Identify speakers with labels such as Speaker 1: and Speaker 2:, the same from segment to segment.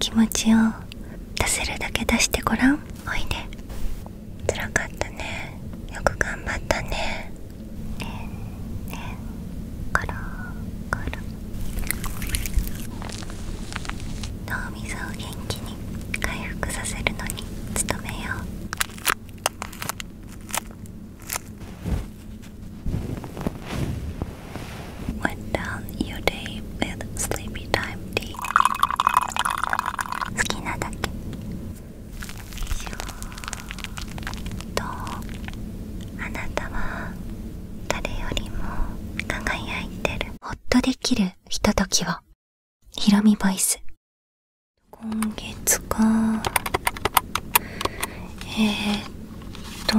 Speaker 1: 気持ちを出せるだけ出してごらんおいでつらかったねよく頑張ったねねえねころころ。ロ脳みそを元気に回復させるのに努めよう Went down your day with sleepy time tea 好きなだけとあなたは誰よりも輝いてるほっとできるひとときをひろみボイス今月かえー、っと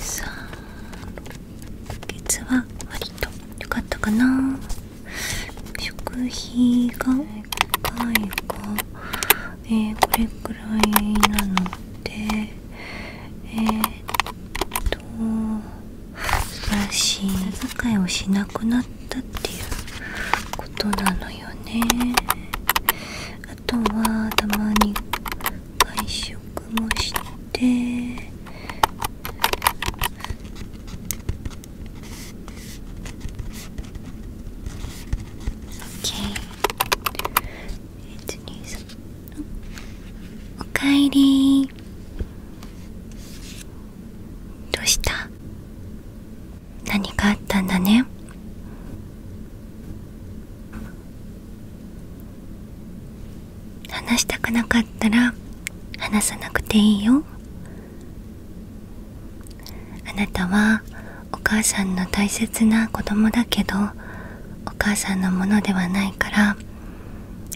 Speaker 1: さ月は割と良かったかな食費が1回が、えこれくらいなのでえっと素晴らしい遣いをしなくなったっていうことなのよねあとはたまに外食もして別に。おかえりどうした何かあったんだね話したくなかったら話さなくていいよあなたはお母さんの大切な子供だけどお母さんのものではないから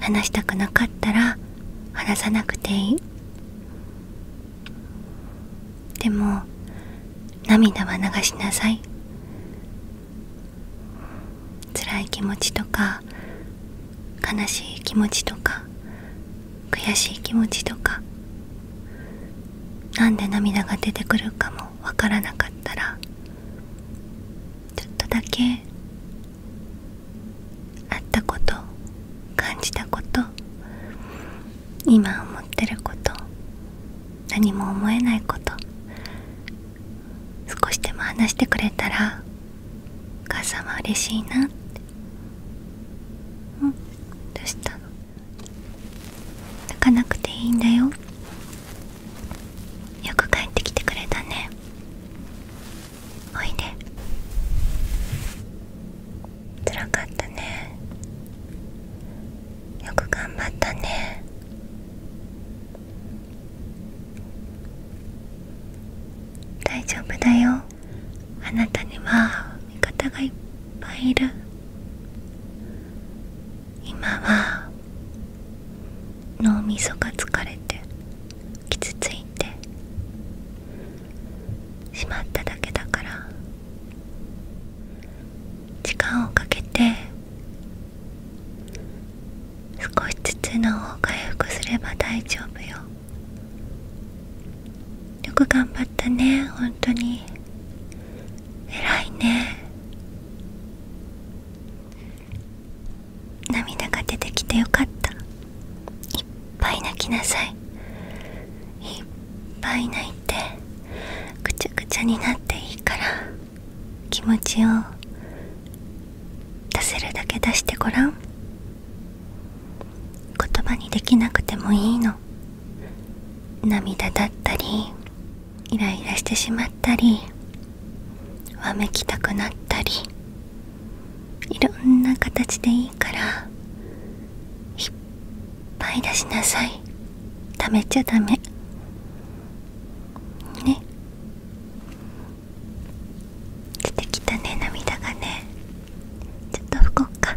Speaker 1: 話したくなかったら話さなくていいでも涙は流しなさい辛い気持ちとか悲しい気持ちとか悔しい気持ちとか何で涙が出てくるかもわからなかったらちょっとだけあったこと感じたこと今思ってること何も思えないこと少しでも話してくれたらお母さんは嬉しいなってうんどうしたの泣かなくていいんだよよく帰ってきてくれたねおいでつらかったねよく頑張ったね大丈夫だよあなたには味方がいっぱいいる今は脳みそが疲れて傷ついてしまっただけだから時間をかけて少しずつ脳を回復すれば大丈夫よよく頑張ったね本当に偉いね涙が出てきてよかったいっぱい泣きなさいいっぱい泣いて。っぐちゃぐちゃになっていいから気持ちを出せるだけ出してごらん言葉にできなくてもいいの涙だったりイライラしてしまったりわめきたくなったりいろんな形でいいからいっぱい出しなさい食べちゃダメね出てきたね涙がねちょっと拭こうか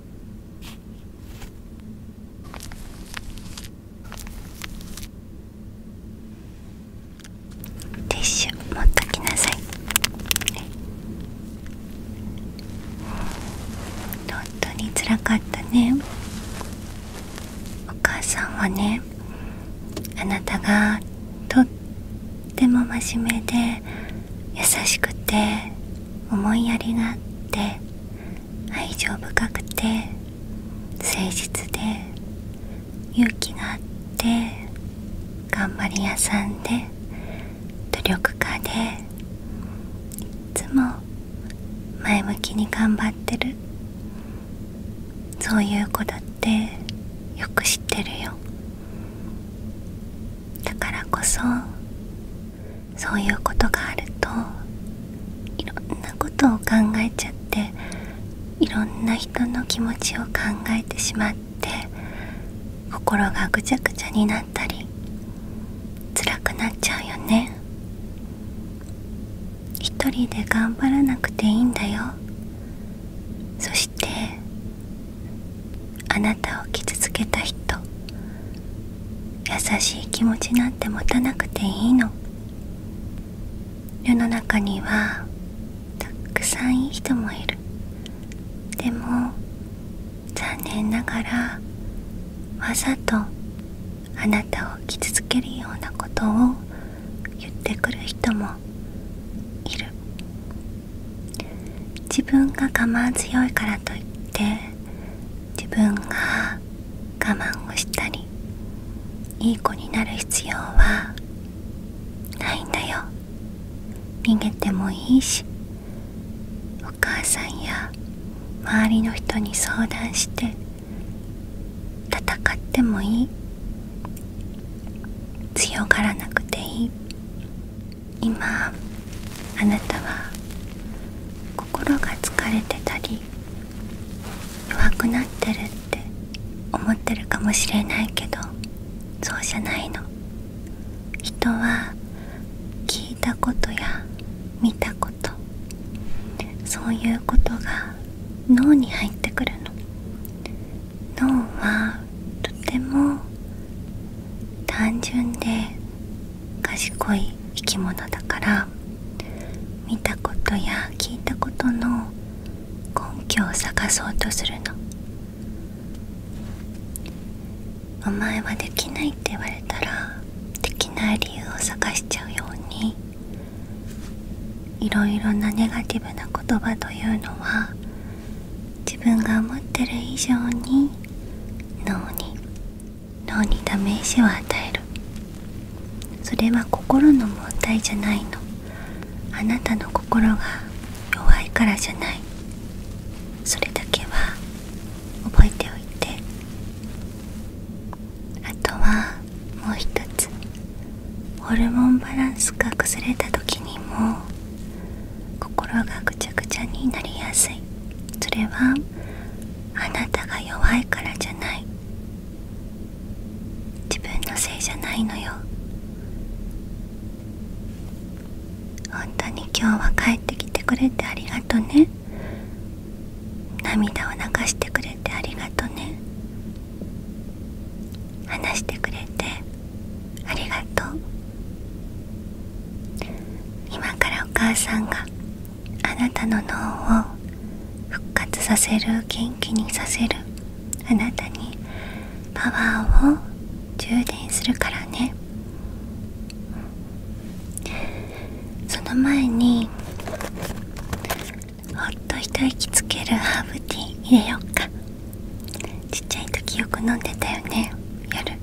Speaker 1: ティッシュ持っときなさい本当につらかったねお母さんはねあなたがとっても真面目で優しくて思いやりがあって愛情深くて誠実で勇気があって頑張り屋さんで努力家でいつも前向きに頑張ってるそういう子だってよく知ってるよだからこそそういうことがあるといろんなことを考えちゃっていろんな人の気持ちを考えてしまって心がぐちゃぐちゃになったり辛くなっちゃうよね一人で頑張らなくていいんだよそしてあなたを傷つけた人優しい気持ちなんて持たなくていいの世の中にはたくさんいい人もいるでも残念ながらわざとあなたを傷つけるようなことを言ってくる人もいる自分が我慢強いからといって自分が我慢をしたりいい子になる必要はないんだよ逃げてもいいしお母さんや周りの人に相談して戦ってもいい強がらなくていい今あなたは心が疲れてたり弱くなってるって思ってるかもしれないけどそうじゃないの人は聞いたことや見たことそういうことが脳に入ってくるの脳はとても単純で賢い生き物だから見たことや聞いたことの根拠を探そうとするのお前はできないって言われたらできない理由を探しちゃうようにいろいろなネガティブな言葉というのは自分が思ってる以上に脳に脳にダメージを与えるそれは心の問題じゃないのあなたの心が弱いからじゃないそれだけは覚えておいてあとはもう一つホルモンバランスが崩れた時にも心がぐちゃぐちゃになりやすいそれはあなたが弱いからじゃない自分のせいじゃないのよ本当に今日は帰ってきてくれてありがとね涙を流してくれてありがとね話してくれてありがとう今からお母さんがあなたの脳を復活させる元気にさせるあなたにパワーを充電するからねその前にほっと一息つけるハーブティー入れよっかちっちゃい時よく飲んでたよね夜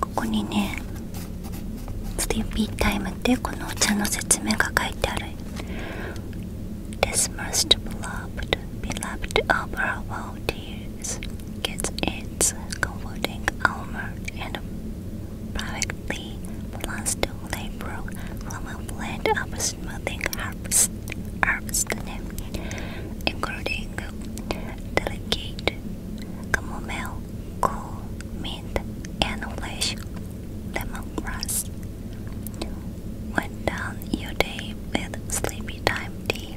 Speaker 1: ここにねスリーピータイムってこのお茶の説明が書いてある This most beloved, beloved of our world years gets its comforting armor and perfectly plus two labor from a blend of smoothing herbs, herbs including delicate chamomile, cool mint, and fresh lemongrass. When done your day with sleepy time tea.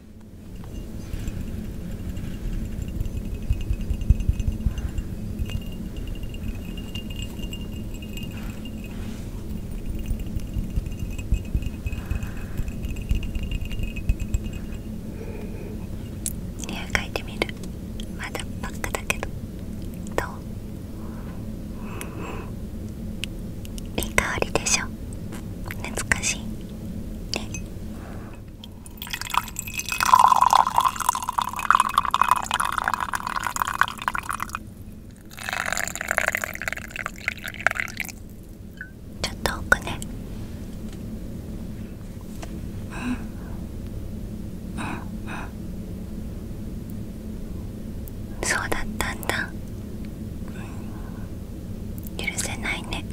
Speaker 1: 匂い嗅いてみるまだばっかだけどどういい香りでしょ懐かしいねちょっと奥ねうんうんうんそうだったんだ、うん、許せないね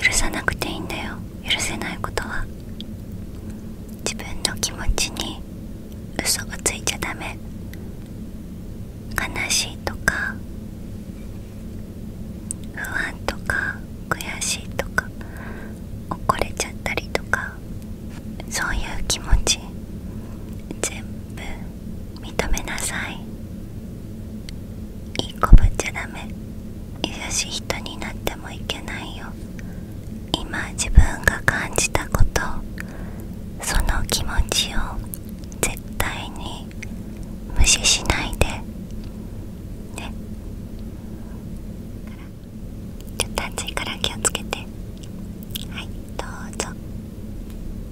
Speaker 1: 許さなくていいんだよ許せないことは自分の気持ちに嘘がついちゃダメ悲しいとか不安とか悔しいとか怒れちゃったりとかそういう気持ち全部認めなさいいい子ぶっちゃダメ優しい人になってもいけないよ今自分が感じたことその気持ちを絶対に無視しないでねちょっと暑いから気をつけてはいどうぞ。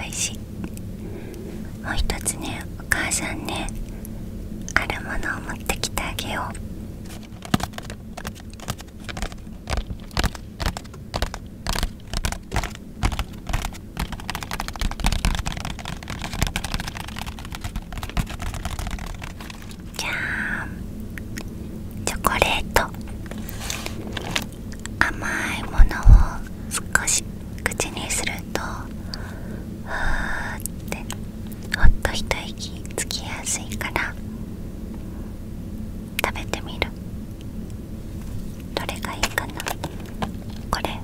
Speaker 1: おいしいもう一つねお母さんねあるものを持ってきてあげようじゃーチョコレート甘いものを少し口にするうとふーってほっと一息つきやすいから食べてみるどれがいいかなこれ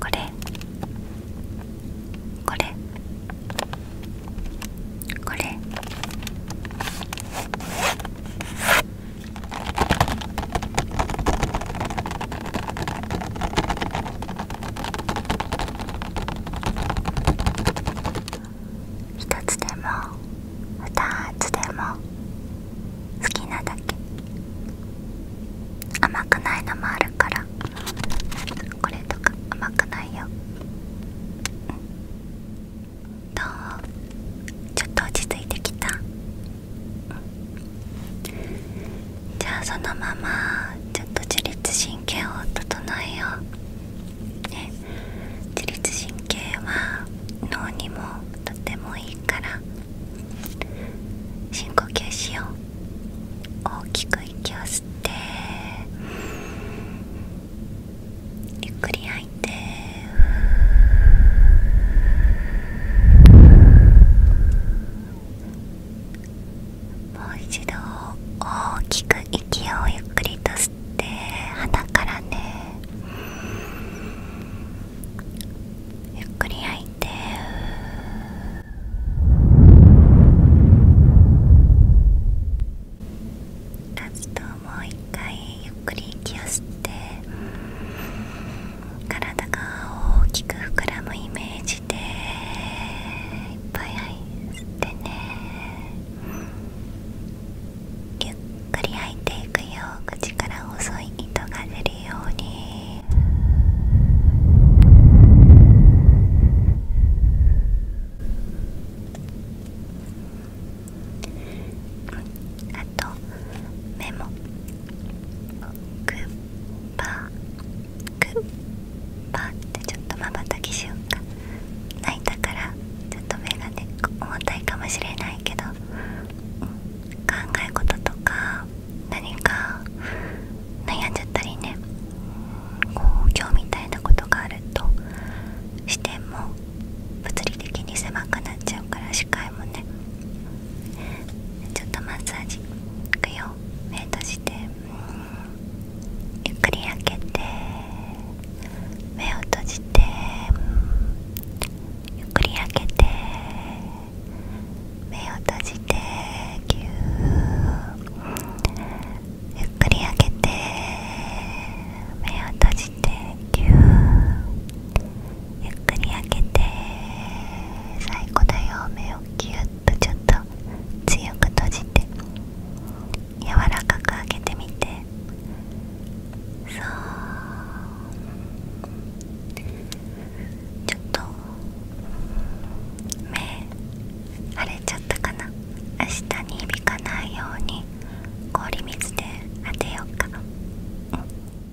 Speaker 1: これこれこれ一つでも二つでも好きなだけ甘くないのもあるからこれとか甘くないよどうちょっと落ち着いてきたじゃあそのままちょっと自律神経を整えよう、ね、自律神経は脳にもとてもいいから深呼吸しよう大きく息を吸ってゆっくり吐いてもう一度大きく息をゆっくりと吸って鼻からねゆっくり吐いてラストもう一回ゆっくり息を吸って。体が大きく膨らむイメージでいっぱいは吸ってねゆっくり吐いていくよ口から細い糸が出るようにあと目。もクッパクッパってちょっとまばたきしようか泣いたからちょっと目がね重たいかもしれないけど、考え事とか何か悩んじゃったりねこう今日みたいなことがあると視点も物理的に狭くなっちゃうから視界もねちょっとマッサージいくよ目閉じてゆっくり開けて目を閉じてゆっくり開けて目を閉じてぎゅーゆっくり開けて目を閉じてぎゅーゆっくり開けて最後だよ目をぎゅっとちょっと強く閉じて柔らかく開けてみてそうちょっと目腫れちゃったかな明日に響かないように氷水で当てようか。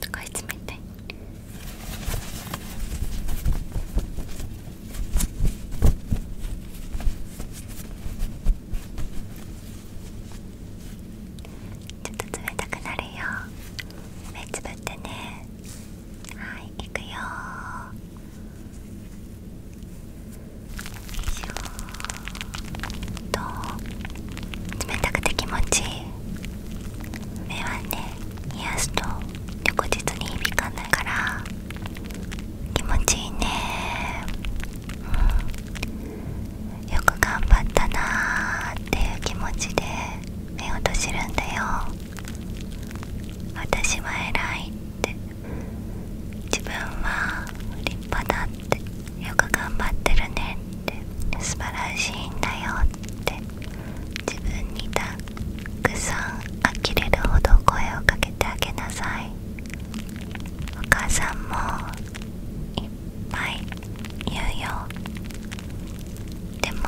Speaker 1: 高い冷たいちょっと冷たくなるよ目つぶってねはいいくよシューと冷たくて気持ちいい目はね癒やすと翌日に響かないから気持ちいいねうんよく頑張ったなーっていう気持ちで目を閉じるんだよ私は偉いって自分は立派だってよく頑張ってるねって素晴らしいんだよって自分にたくさん呆れるほど声をかけてあげなさいお母さんもいっぱい言うよでも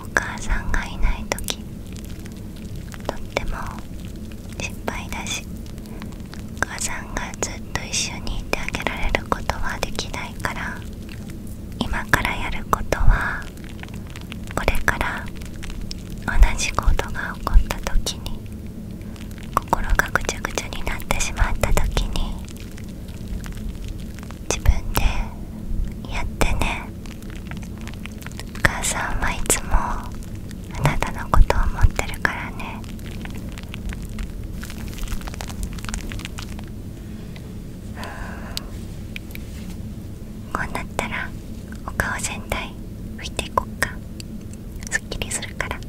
Speaker 1: お母さんがいない時とっても心配だしお母さんがずっと一緒にいてあげられることはできないから今からやることはこれから同じことが起こった時に心がぐちゃぐちゃになってしまった時に自分でやってねお母さんはいつもあなたのことを思ってるからねこうなったらお顔全体拭いていこっかすっきりするからね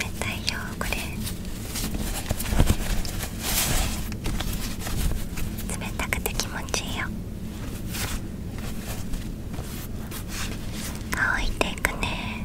Speaker 1: 冷たいよこれ冷たくて気持ちいいよ乾いていくね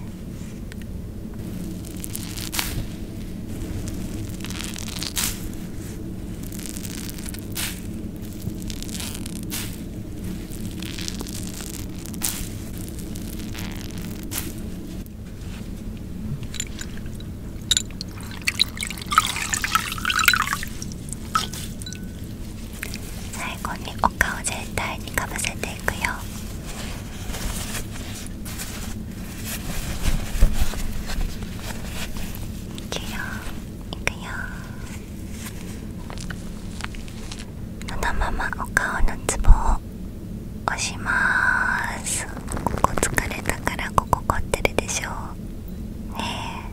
Speaker 1: 最後にお顔全体にかぶせていくよいそのままお顔のツボを押しますここ疲れたからここ凝ってるでしょうね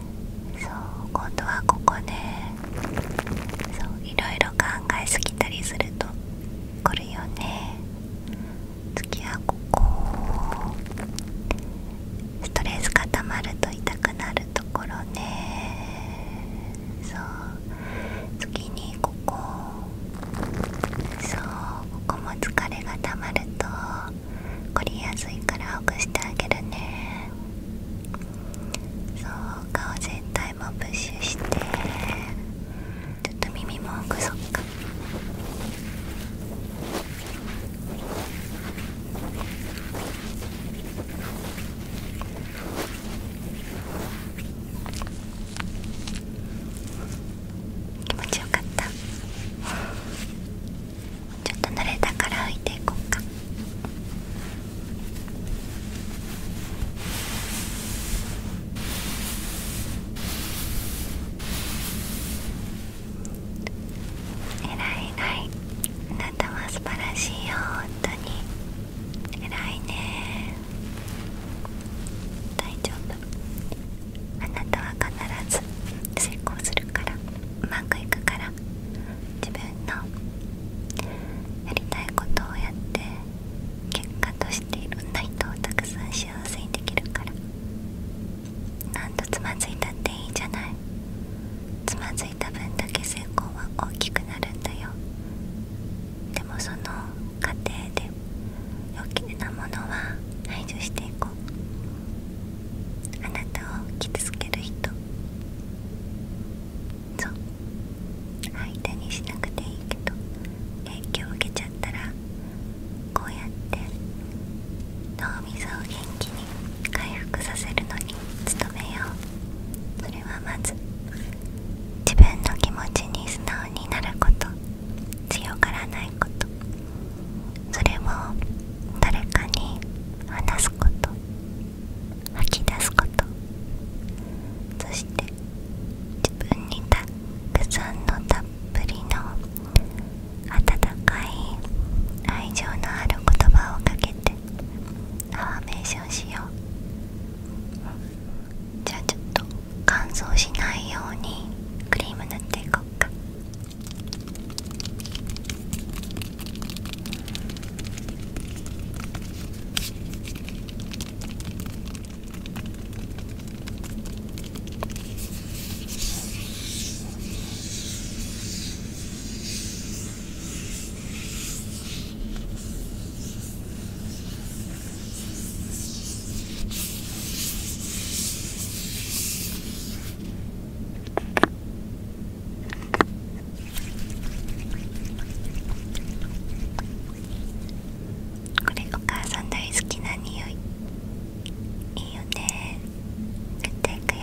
Speaker 1: えそう今度はここねそういろいろ考えすぎたりするとこるよね次はここストレス固まると痛くなるところねそう次にここそうここも疲れがたまると凝りやすいからほぐしてあげるねそう顔全体もプッシュしてちょっと耳もほぐそっか気持ちよかったちょっと慣れたから拭いていこうか偉い偉いあなたは素晴らしいよ本当に偉いね大丈夫あなたは必ず成功するからうまくいくから自分のやりたいことをやって結果としていろんな人をたくさん幸せにできるから何とつまずいたっていいじゃないつまずいた分だけ成功は大きくなるんだよでもその過程で余計なものは排除していこうあなたを傷つける人そう手にしなくていいけど影響を受けちゃったらこうやって脳みそを元気に回復させるのに努めようそれはまず自分の気持ちに素直になること強がらないことそれを誰かに話すこと吐き出すことそして自分にたくさんのたっぷりの温かい愛情のある言葉をかけてアフーメーションしようじゃあちょっと乾燥しないようにクリーム塗っていこうかこれお母さん大好きな匂いいいよね塗っていくよ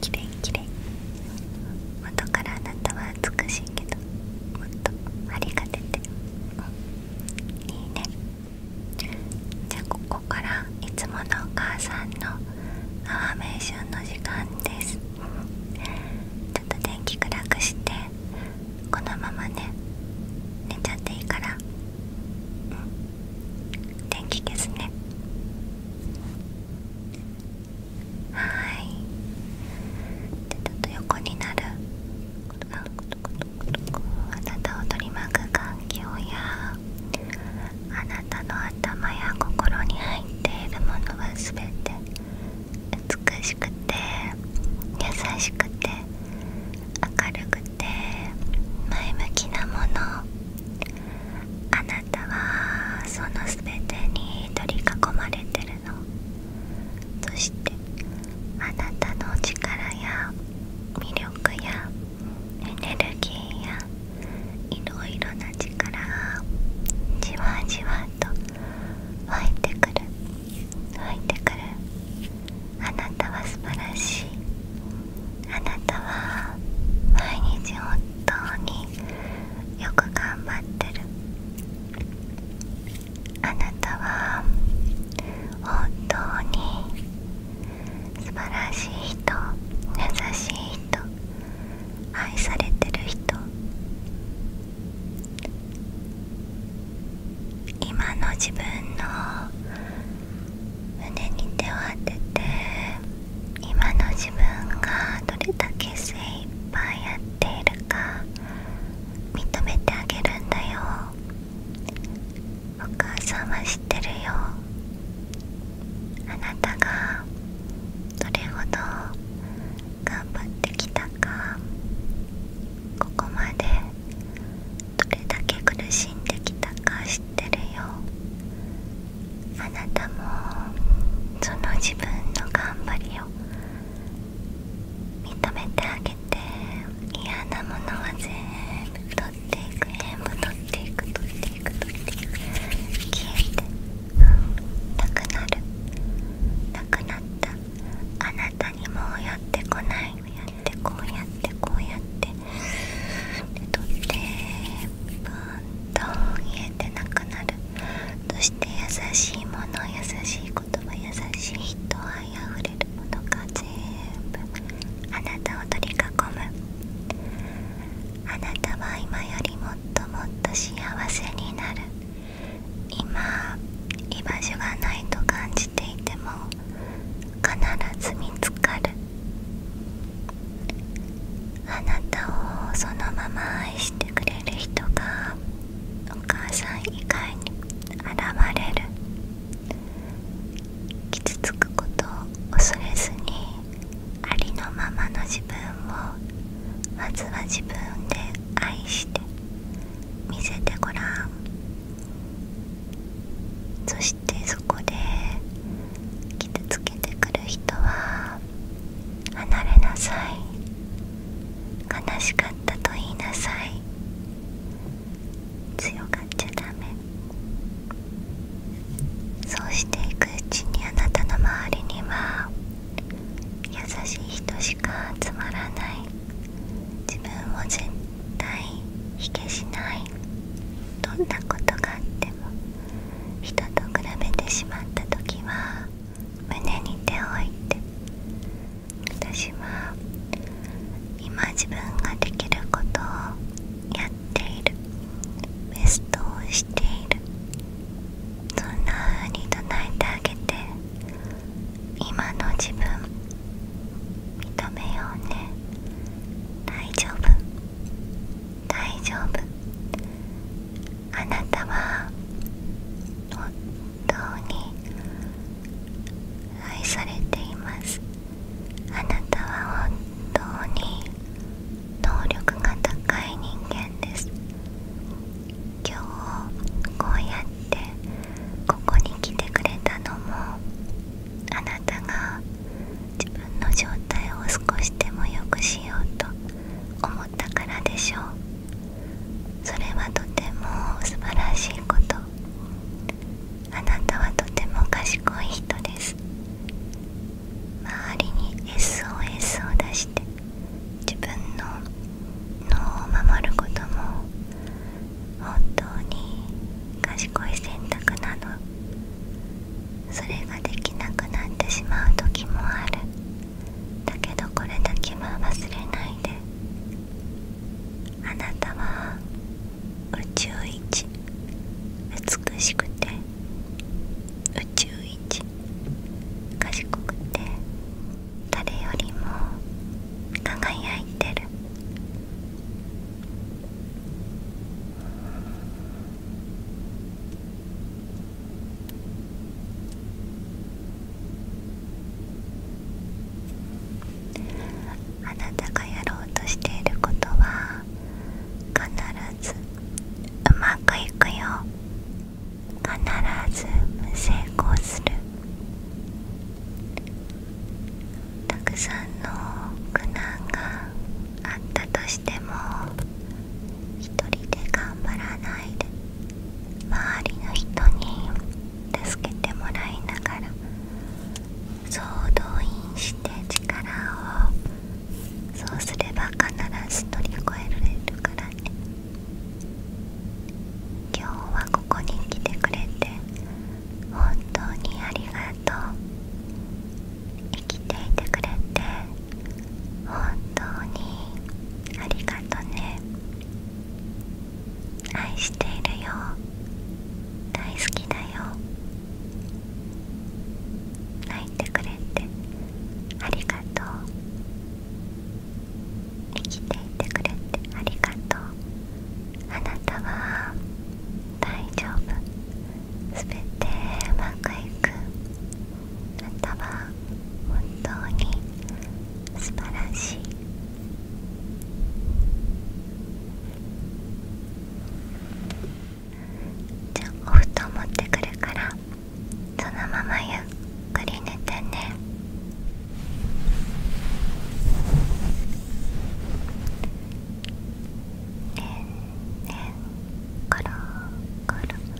Speaker 1: きれいきれい元からあなたは美しいけどもっとありがてていいねじゃここからいつものお母さんのアワーメーションの時間ですちょっと電気暗くしてこのままね寝ちゃっていいから電気消すねはいでちょっと横になるあなたを取り巻く環境やあなたの頭や心に入っているものは全て美しくて優しくて明るくて前向きなものあなたはその全てに取り囲まれてるのそしてあなたの力や魅力やエネルギーやいろいろな力がじわじわと湧いてくる入ってくるあなたは素晴らしいあなたは毎日本本当によく頑張ってるあなたは本当に素晴らしい人優しい人愛されてる人今の自分の胸に手を当てて今の自分がどれだけ精一杯やっているか認めてあげるんだよお母さんは知ってるよあなたがどれほど頑張ってきたかここまでどれだけ苦しんできたか知ってるよあなたもその自分の頑張りを認めてあげて嫌なものは全部取っていく全部取っていく取っていく取っていく消えて、なくなるなくなったあなたにもやってこないやってこうやってこうやってで取ってブーンと消えてなくなるそして優しいもの優しい言葉優しい人愛あふれるものが全部あなたを取り囲むあなたは今よりもっともっと幸せになる今居場所がないと感じていても必ず見つかるあなたをそのまま愛してくれ人がお母さん以外に現れる傷つくことを恐れずにありのままの自分をまずは自分で愛して見せてごらんそしてそこで傷つけてくる人は離れなさい悲しかったと言いなさい強がっちゃダメそうしていくうちにあなたの周りには優しい人しか集まらない自分を絶対卑下しないどんなことがあっても人と比べてしまった時は胸に手を置いて私は今自分ができることをやっているベストをしているそんなふうに唱えてあげて今の自分認めようね大丈夫大丈夫あなたは本当に愛されていますあなたは本当に能力が高い人間です今日こうやってここに来てくれたのもあなたが自分の状態を少しでも良くしようと思思からでしょうそれはとても素晴らしいことあなたはとても賢い人です周りに SOS を出して自分の脳を守ることも本当に賢い選択なのそれができなくなってしまう時もあるだけどこれだけは忘れないであなたは宇宙一美しくて宇宙一賢くて誰よりも輝いてるあなたがやろうとしていることは必ずうまくいくよ必ず無成功するたくさんの苦難があったとしても一人で頑張らないで周りの人に助けてもらいながら総動員して力をそうすれば必ず乗り越えられるからね今日はここに来てくれて本当にありがとう生きていてくれて本当にありがとね愛しているよ大好きだよ泣いてくれてありがとう生きていてくれてありがとうあなたは大丈夫全てうまくいくあなたは本当に素晴らしいじゃあお布団持ってくるからそのままゆっくり寝てねねんねんコロコロ